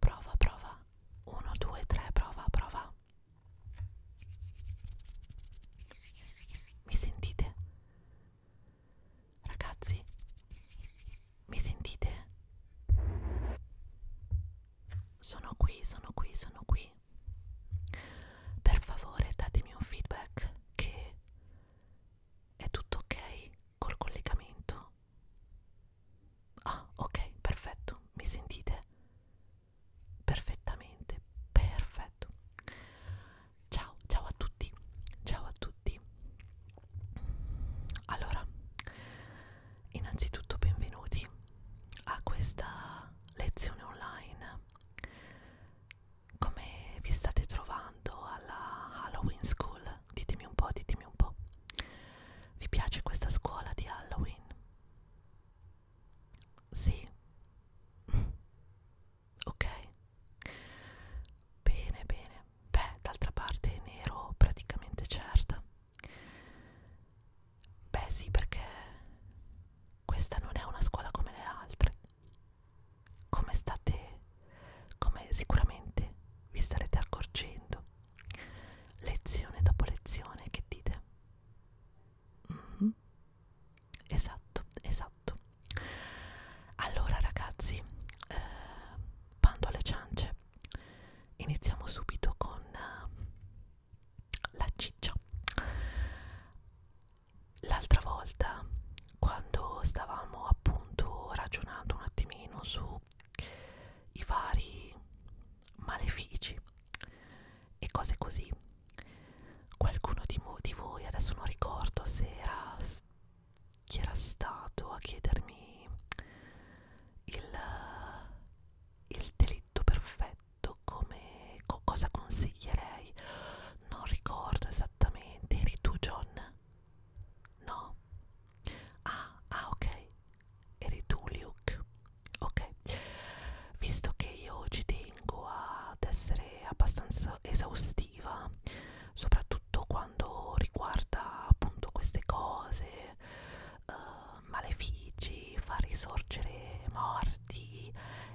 Prova, prova. 1, 2, 3, prova, prova. Mi sentite? Ragazzi, mi sentite? Sono qui, sono qui, sono qui. Per favore datemi un feedback che è tutto ok col collegamento Ah, ok, perfetto. Mi sentite? Perfettamente, perfetto. Ciao, ciao a tutti. Ciao a tutti. Allora, innanzitutto benvenuti a questa lezione online. Come vi state trovando alla Halloween School? ditemi un po', ditemi un po'. Vi piace questa scuola di Halloween? Sì. ok. Bene, bene. Beh, d'altra parte ne ero praticamente certa. Beh, sì, perché questa non è una scuola come le altre. Come state come sicuramente vi starete accorgendo lezione dopo lezione che dite mm -hmm. esatto esatto allora ragazzi eh, bando alle ciance iniziamo subito con eh, la ciccia l'altra volta quando stavamo appunto ragionando un attimino su sono i vari malefici e cose così. Qualcuno di, di voi, adesso non ricordo se era chi era stato a chiedermi il, il delitto perfetto, come co cosa consiglierei, non ricordo esattamente, eri tu John? No. Ah, ah, ok. Eri tu, Luke. Ok. Visto che io ci tengo ad essere abbastanza esaustiva, soprattutto quando riguarda appunto queste cose, uh, malefici, far risorgere morti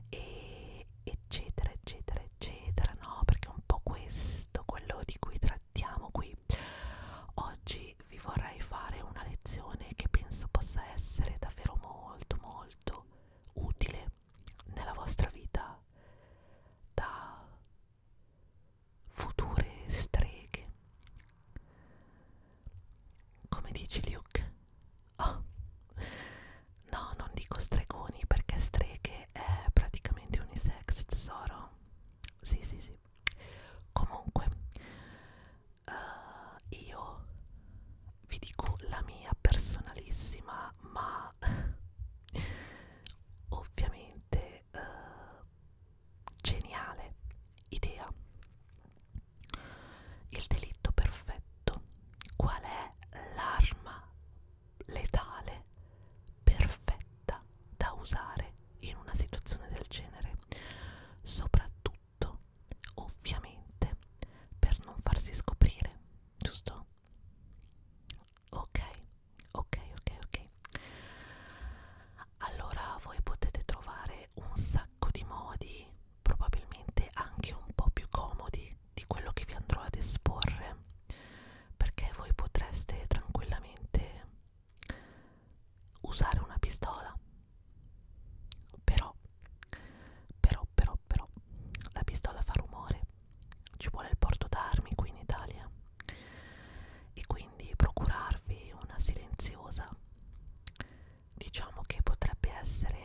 e eccetera eccetera eccetera no perché è un po' questo quello di cui tra trattiamo qui. Oggi vi vorrei fare una lezione che penso possa essere davvero molto molto utile nella vostra vita da future streghe. Come dici Luke? Oh. No, non dico stregoni perché streghe è praticamente unisex tesoro sì sì sì comunque uh, io vi dico la mia personalissima ma ovviamente uh, geniale idea il delitto perfetto qual è l'arma letale perfetta da usare in una situazione del genere soprattutto ovviamente per non farsi scoprire giusto ok ok ok ok allora voi potete trovare un sacco di modi probabilmente anche un po più comodi di quello che vi andrò ad esporre perché voi potreste tranquillamente usare una pistola però però però però la pistola fa rumore ci vuole il porto d'armi qui in Italia e quindi procurarvi una silenziosa diciamo che potrebbe essere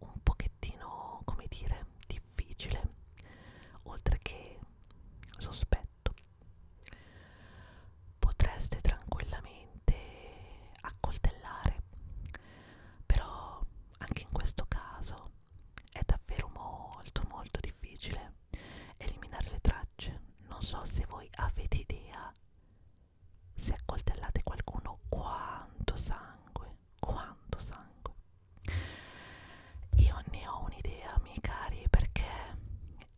un pochettino come dire difficile oltre che sospetto potreste tranquillamente accoltellare però anche in questo caso è davvero molto molto difficile eliminare le tracce non so se voi avete idea se accoltellate qualcuno quanto sangue quanto sangue io ne ho un'idea, miei cari, perché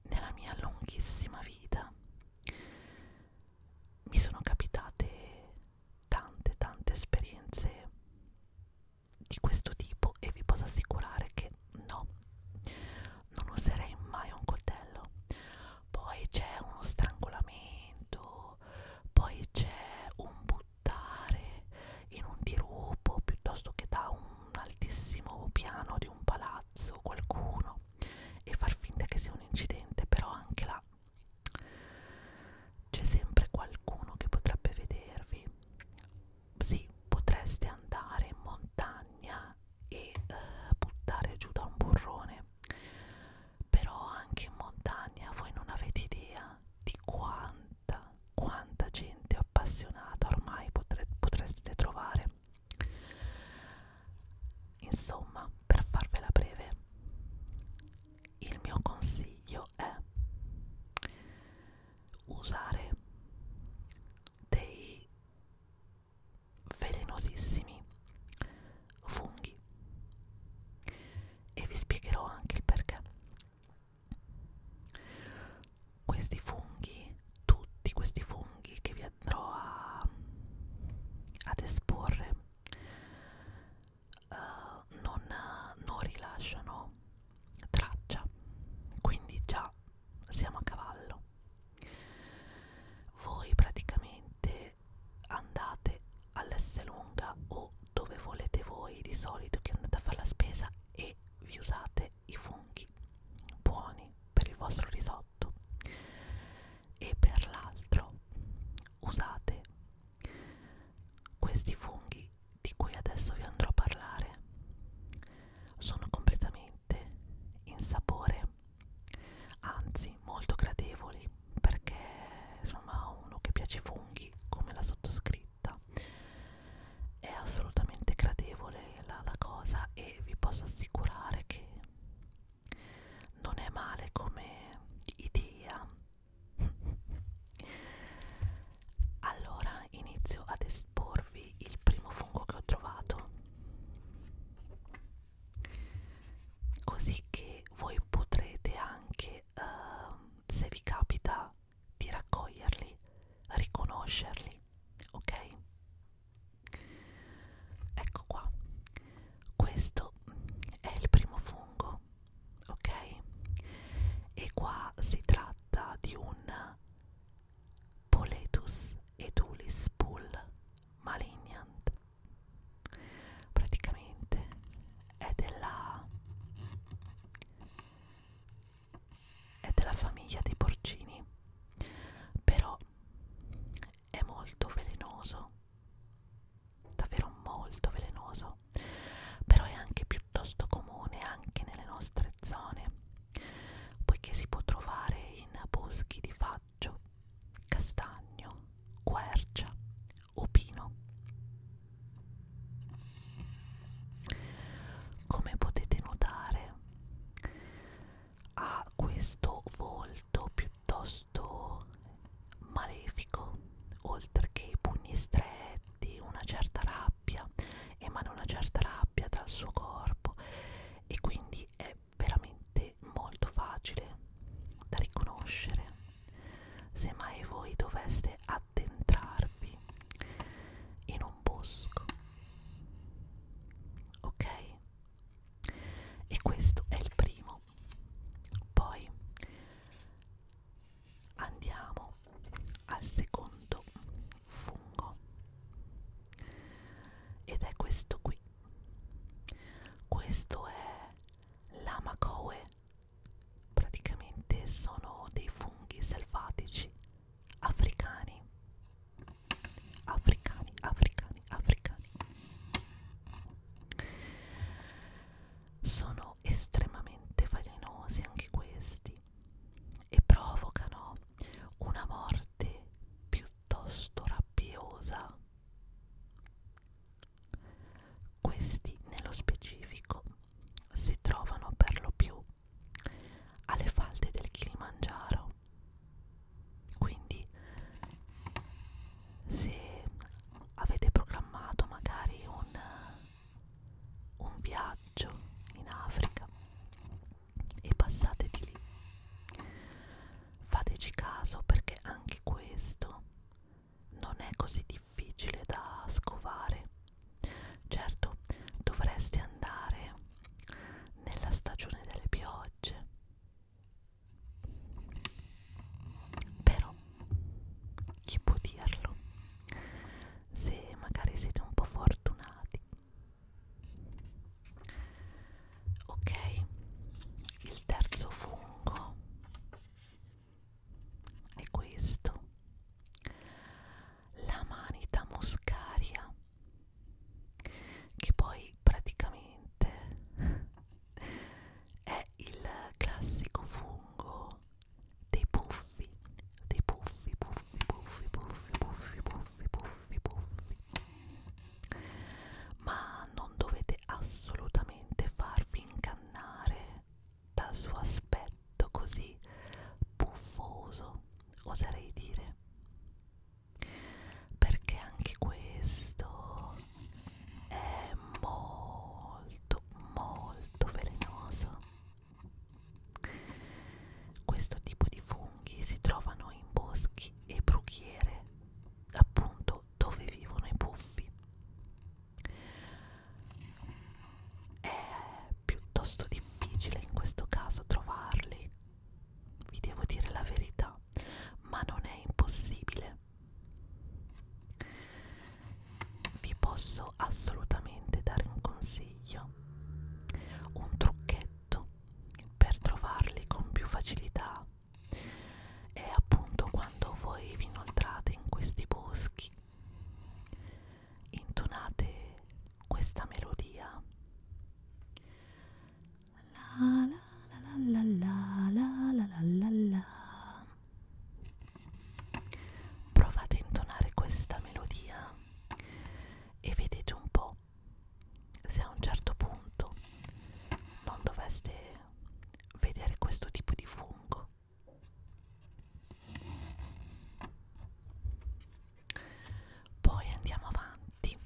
nella mia lunghissima vita mi sono capitate tante, tante esperienze di questo tipo e vi posso assicurare che no, non userei mai un coltello. Poi c'è uno strangolamento, poi c'è un buttone buttare in un dirupo piuttosto che da un altissimo piano di un palazzo qualcuno e far finta che sia un incidente, però anche là c'è sempre qualcuno che potrebbe vedervi. Sì, potreste andare in montagna e uh, buttare giù da un burrone, però anche in montagna voi non avete idea di quanta quanta gente appassionata ormai potre, potreste trovare. Insomma, per farvela breve, il mio consiglio è usare dei velenosissimi funghi e vi spiegherò anche il perché questi funghi, tutti questi funghi che vi andrò a, ad esporre, uh, non, non rilasciano traccia, quindi già siamo a cavallo. Voi praticamente andate all'S lunga o dove volete voi di solito che andate a fare la spesa e vi usate i funghi buoni per il vostro risotto e per l'altro usate questi funghi di cui adesso vi andrò a parlare sono completamente in sapore anzi molto gradevoli perché insomma uno che piace i funghi come la sottoscritta vetta è assolutamente gradevole la, la cosa e vi posso assicurare che non è male come idea allora inizio ad esporvi il primo fungo che ho trovato così che voi potrete anche e ehm, uh, se vi capita di raccoglierli, riconoscerli, ok? Ecco qua, questo è il primo fungo, ok? E qua si tratta di un Poletus edulis pull malignant. Praticamente è della è della famiglia dei porcini però è molto velenoso davvero molto velenoso però è anche piuttosto comune anche nelle nostre zone poiché si può trovare in boschi di faggio castagno quercia Opino. Come potete notare, ha questo volto piuttosto malefico, oltre che i pugni stretti, una certa rabbia, emana una certa rabbia dal suo corpo e quindi è veramente molto facile da riconoscere se mai voi doveste addentrarvi in un bosco ok e questo è il primo poi andiamo al secondo fungo ed è questo qui questo è l'amacoe praticamente sono dei funghi selvatici africani africani africani africani sono estremamente velenosi anche questi e provocano una morte piuttosto rabbiosa questi nello specifico si trovano per lo più alle falde del Kilimangiaro. Quindi se avete programmato magari un, un viaggio in Africa e passate di lì, fateci caso perché anche questo non è così difficile da scovare. Certo, dovresti andare nella stagione delle piogge. Però, chi può dirlo? Se magari siete un po' fortunati. Ok, il terzo fungo è questo la manita muscaria che poi praticamente è il classico fungo dei puffi dei puffi puffi puffi puffi puffi puffi puffi puffi ma non dovete assolutamente farvi incastrare scannare dal suo aspetto così puffoso, oserei dire. Perché anche questo è molto, molto velenoso. Questo tipo di funghi si trovano in boschi e bruchiere, appunto dove vivono i puffi. È piuttosto difficile in questo caso trovarli, vi devo dire la verità, ma non è impossibile. Vi posso assolutamente dare un consiglio, un trucchetto per trovarli con più facilità è appunto quando voi vi inoltrate in questi boschi intonate questa melodia la la la la la la la la la la provate a intonare questa melodia e vedete un po' se a un certo punto non doveste vedere questo tipo di fungo poi andiamo avanti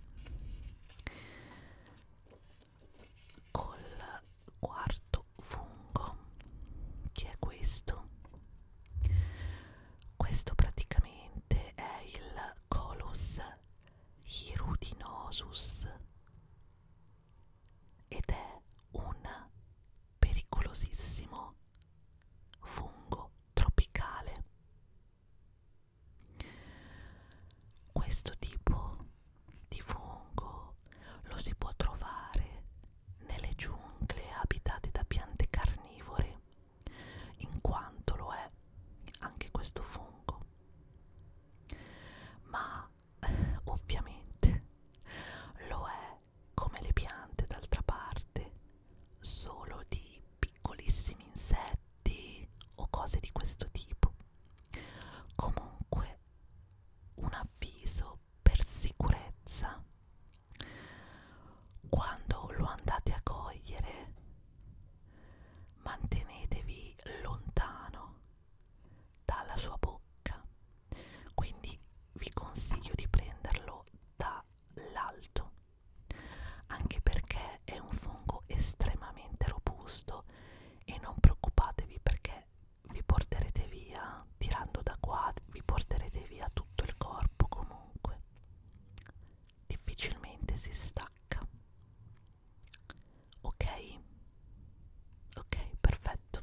col quarto fungo che è questo questo praticamente è il colus hirudinosus ed è un pericolosissimo fungo tropicale. Questo tipo di fungo lo si può trovare nelle giungle abitate da piante carnivore, in quanto lo è anche questo fungo. Ma ovviamente lo è come le piante d'altra parte solo di piccolissimi insetti o cose di questo tipo comunque un avviso per sicurezza quando lo andate a cogliere mantenetevi lontano dalla sua bocca quindi vi consiglio di prenderlo dall'alto anche perché è un fungo estremamente robusto e non preoccupatevi perché vi porterete via tirando da qua vi porterete via tutto il corpo comunque difficilmente si stacca Ok? Ok, perfetto.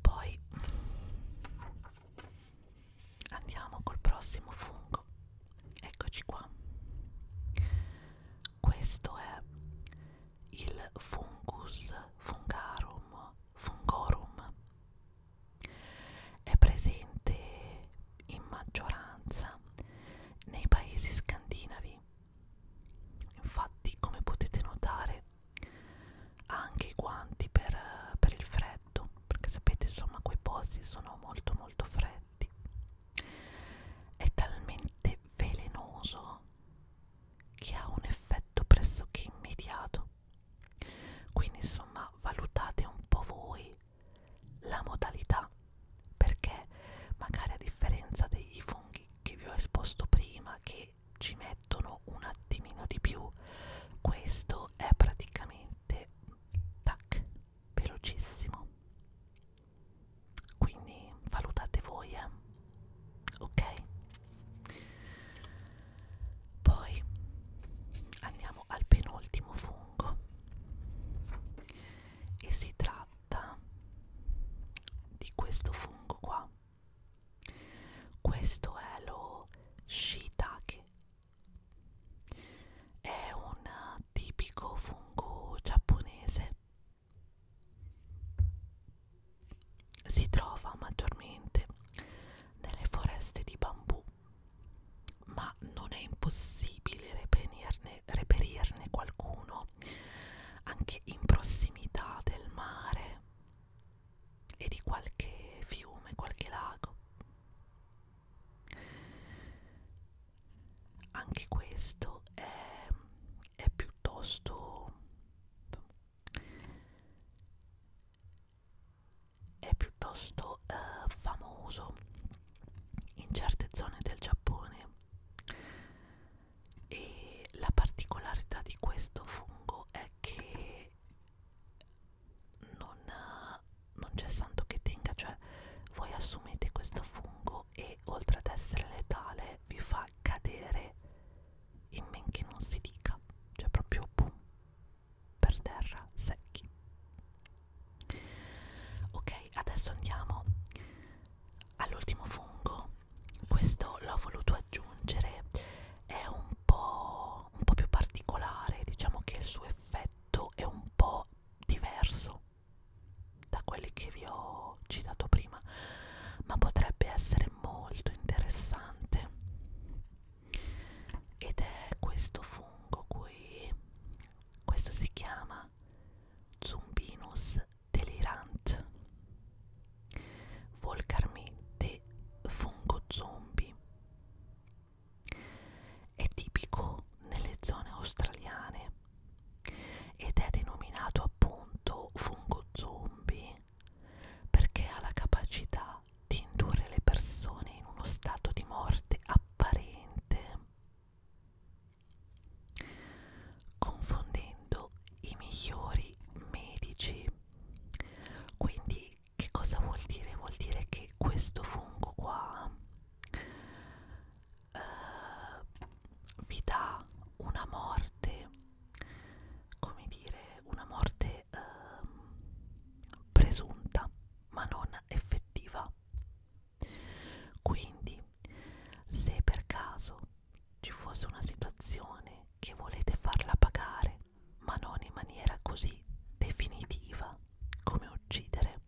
Poi andiamo col prossimo fungo. Eccoci qua. Questo è il fungus fungarum fungorum. È presente in maggioranza nei paesi scandinavi. Infatti, come potete notare, ha anche i guanti per, per il freddo, perché sapete, insomma, quei posti sono molto molto freddi. È talmente velenoso che ha un effetto pressoché immediato. Quindi, insomma, valutate un po' voi la modalità perché magari a differenza dei funghi che vi ho esposto prima che ci mettono un attimino di più questo è praticamente tac velocissimo quindi valutate voi eh? ok poi andiamo al penultimo fungo e si tratta di questo fungo qua questo è lo shiitake è un tipico fungo giapponese si trova maggiormente nelle foreste di bambù ma non è impossibile reperirne, reperirne qualcuno anche in prossimità del mare e di qualche fiume, qualche lago. Anche questo è, è piuttosto è piuttosto eh, famoso in certe zone del Giappone e la particolarità di questo fungo è che non, non c'è santo che tenga, cioè voi assumete questo fungo e oltre ad essere letale vi fa cadere in men che non si dica, cioè proprio boom, per terra secchi ok adesso andiamo all'ultimo fungo questo l'ho voluto aggiungere è un po', un po' più particolare diciamo che il suo effetto è un po' diverso da quelli che vi ho citato prima ma potrebbe essere molto interessante ed è questo fungo qui questo si chiama Zumbinus delirant, volgarmente fungo zombie. È tipico nelle zone australiane ed è denominato appunto fungo zombie perché ha la capacità di indurre le persone in uno stato di morte apparente confondendo i migliori medici. Quindi che cosa vuol dire? Vuol dire che questo fungo qua eh, vi dà una morte, come dire, una morte eh, presunta ma non effettiva fa. Quindi, se per caso ci fosse una situazione che volete farla pagare, ma non in maniera così definitiva come uccidere,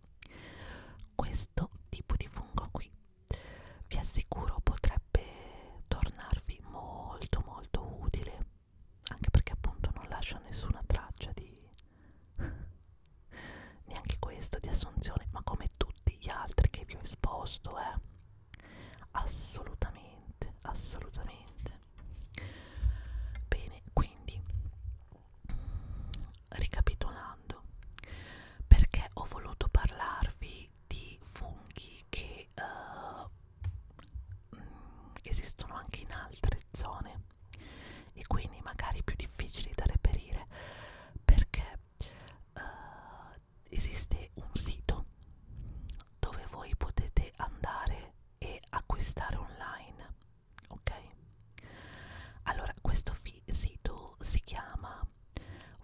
questo tipo di fungo qui vi assicuro potrebbe tornarvi molto molto utile anche perché appunto non lascia nessuna traccia di neanche questo di assunzione ma come tutti gli altri che vi ho esposto eh assolutamente assolutamente bene quindi ricapitolando perché ho voluto parlarvi di funghi che uh, esistono anche in altre zone e quindi magari più difficili da reperire perché uh, esiste un sito dove voi potete andare e acquistare online ok allora questo sito si chiama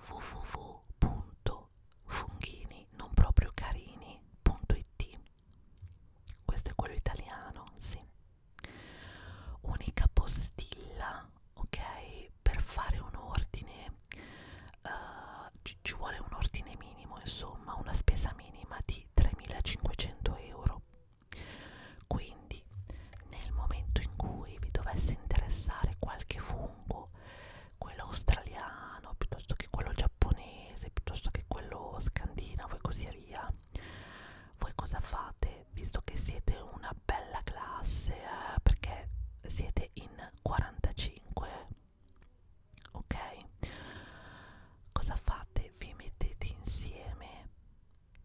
www.funghininopropriocarini.it questo è quello italiano, sì. Unica postilla, ok? Per fare un ordine uh, ci, ci vuole un ordine minimo, insomma, una spesa minima di 3.500 euro. Quindi, nel momento in cui vi dovesse interessare qualche fungo, quello australiano piuttosto che quello giapponese, piuttosto che quello scandinavo e così via, voi cosa fate visto che siete una bella classe eh, perché siete in 45 ok cosa fate vi mettete insieme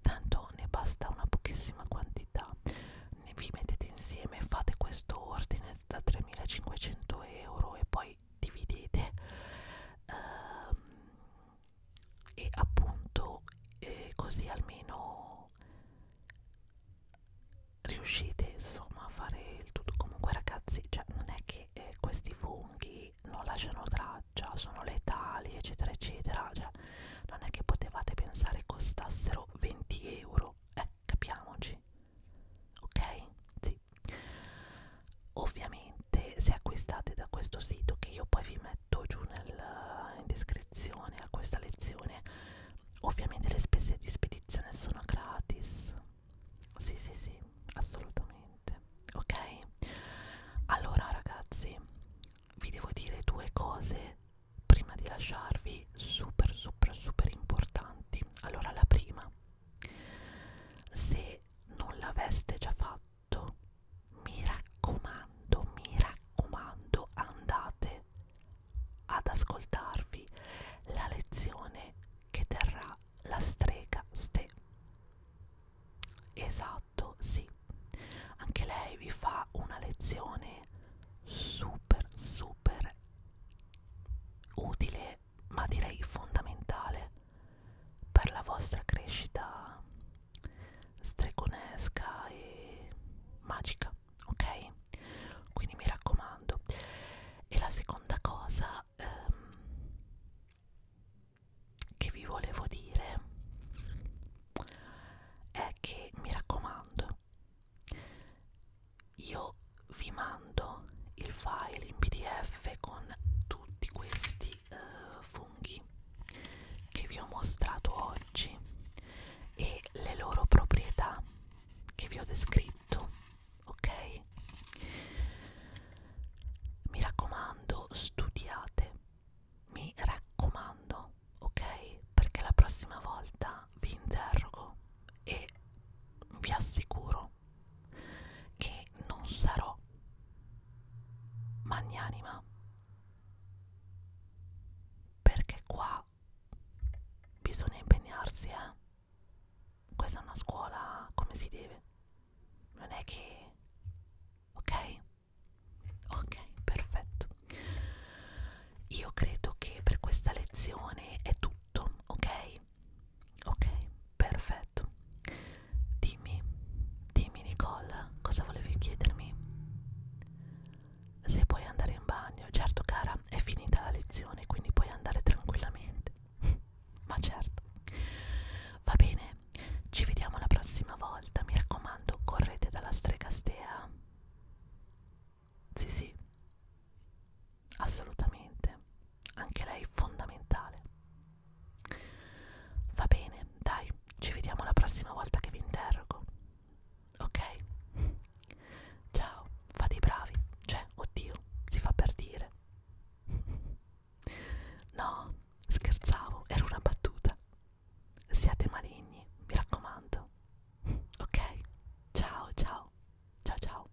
tanto ne basta una pochissima quantità ne vi mettete insieme fate questo ordine da 3500 euro e poi dividete um, e appunto eh, così almeno riuscite insomma a fare il tutto comunque ragazzi cioè non è che eh, questi funghi non lasciano traccia sono letali eccetera eccetera cioè non è che potevate pensare costassero 20 euro eh capiamoci ok sì prezzi ovviamente se acquistate da questo sito che io poi vi metto giù nel, in descrizione a questa lezione ovviamente le spese di spedizione sono gratis sì sì sì assolutamente ok allora ragazzi vi devo dire due cose prima di lasciarvi super super super importanti allora la prima se non l'aveste già fatto tutto mi raccomando mi raccomando andate ad ascoltarvi la lezione che terrà la strega ste esatto sì anche lei vi fa una lezione super super utile essenziale, ma direi fondamentale per la vostra crescita stregonesca e magica, ok? Quindi mi raccomando. E la seconda cosa ehm, che vi volevo dire è che mi raccomando, io vi mando il file in PDF con tutti questi uh, funghi che vi ho mostrato oggi e le loro proprietà che vi ho descritto ok mi raccomando studiate mi raccomando ok perché la prossima volta vi interrogo e vi assicuro che non sarò magnanima perché qua bisogna impegnarsi eh questa è una scuola come si deve non è che ok ok perfetto io credo che per questa lezione è tutto ok Ok, perfetto. Dimmi, dimmi Nicole, cosa volevi chiedermi? Se puoi andare in bagno, certo cara, è finita la lezione, quindi puoi andare tranquillamente. Ma certo. Va bene, ci vediamo la prossima volta, mi raccomando, correte dalla strega stea. Sì, sì assolutamente, anche lei fondamentale. Va bene, dai, ci vediamo la prossima volta che vi interrogo. Ok? Ciao, fate i bravi, cioè, oddio, si fa per dire. No, scherzavo, era una battuta. Siate maligni, mi raccomando. Ok? Ciao, ciao, ciao, ciao.